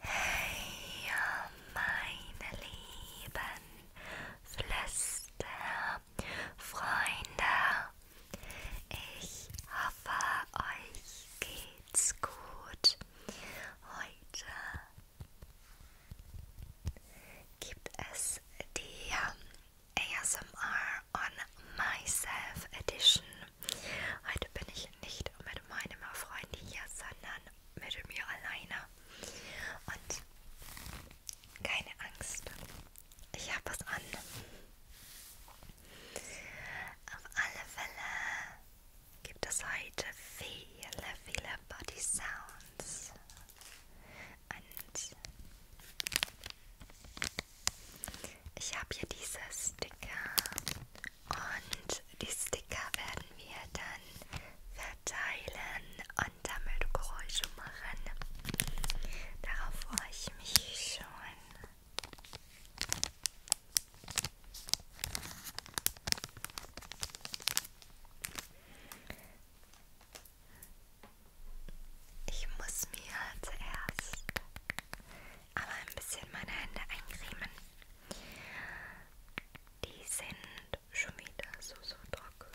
Hey, meine lieben Flüsterfreunde, ich hoffe, euch geht's gut. Heute gibt es die ASMR on Myself Edition Heute bin ich nicht mit meinem Freund hier, sondern mit mir alleine. Und keine Angst, ich habe was an. Auf alle Fälle gibt es heute viele, viele Body Sounds. Und ich habe hier diese Sticker und die Sticker werden wir dann verteilen und damit Geräusche machen. Darauf freue ich mich schon. Ich muss mir zuerst aber ein bisschen meine Hände eincremen. Die sind schon wieder so, so trocken.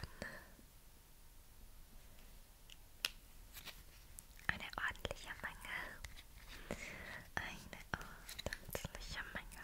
Eine ordentliche Menge. Eine ordentliche Menge.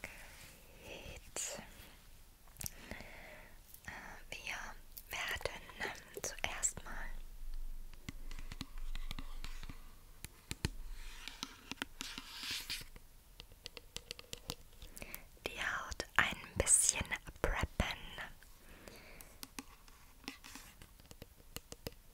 Gut. Äh, wir werden ähm, zuerst mal die Haut ein bisschen preppen.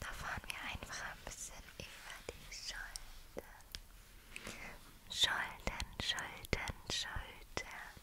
Da fahren wir einfach ein bisschen über die Schultern. Schultern, Schultern, Schultern.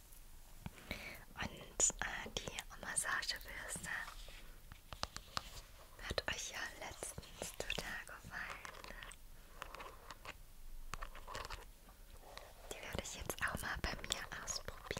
Und äh, die Massagebürste hat euch ja letztens total gefallen. Die werde ich jetzt auch mal bei mir ausprobieren.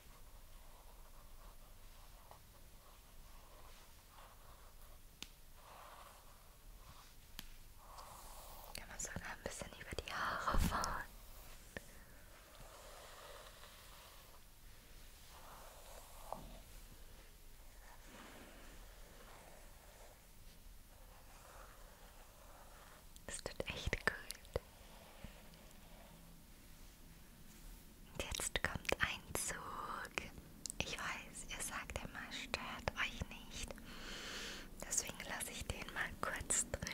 Kann man sogar ein bisschen über die Haare fahren. Das tut echt gut. Und jetzt kommt ein Zug. Ich weiß, ihr sagt immer, stört euch nicht. Deswegen lasse ich den mal kurz drinnen.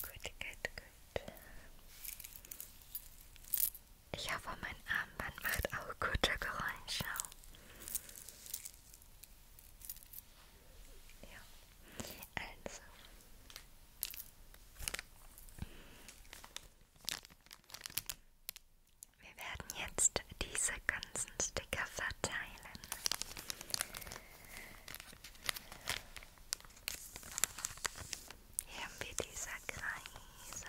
Good. Good, good, good. Ich hoffe, mein Armband macht auch gute Geräusche. Ja, also. Wir werden jetzt diese ganzen Sticker verteilen. Hier haben wir diese Kreise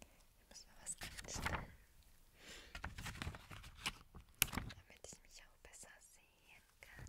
Wir müssen mal was anstellen. Damit ich mich auch besser sehen kann.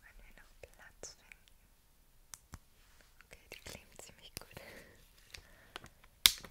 Wenn wir noch Platz finden. Okay, die klebt ziemlich gut. Okay,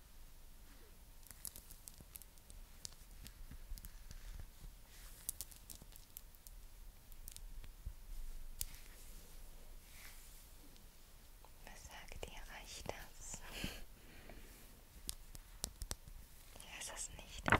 Was sagt ihr? Reicht das? Ich weiß es nicht.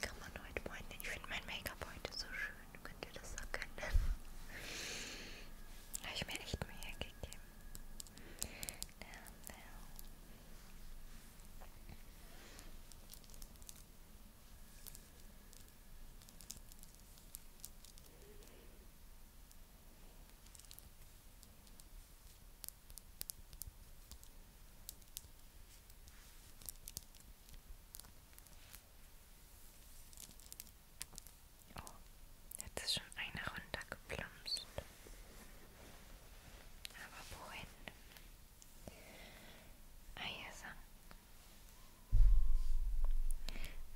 Kann man heute Morgen. Ich finde mein Make-up heute so schön. Könnt ihr das erkennen? Habe ich mir echt Mühe gegeben. Ja, ja. Oh, jetzt ist schon einer runtergeplumpst. Aber wohin? Ah, hier ist er.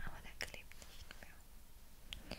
Aber der klebt nicht mehr.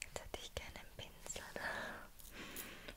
Jetzt hätte ich gerne einen Pinsel.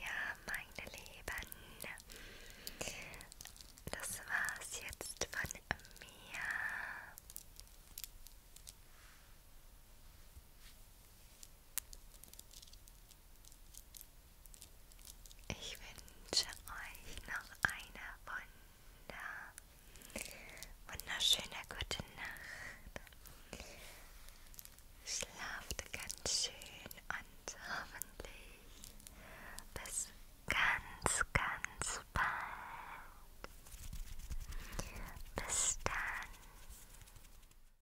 Ja, meine Lieben, das war's jetzt von mir. Ich wünsche euch noch eine wunder, wunderschöne gute Nacht. Schlaft ganz schön und hoffentlich bis ganz, ganz bald. Bis dann.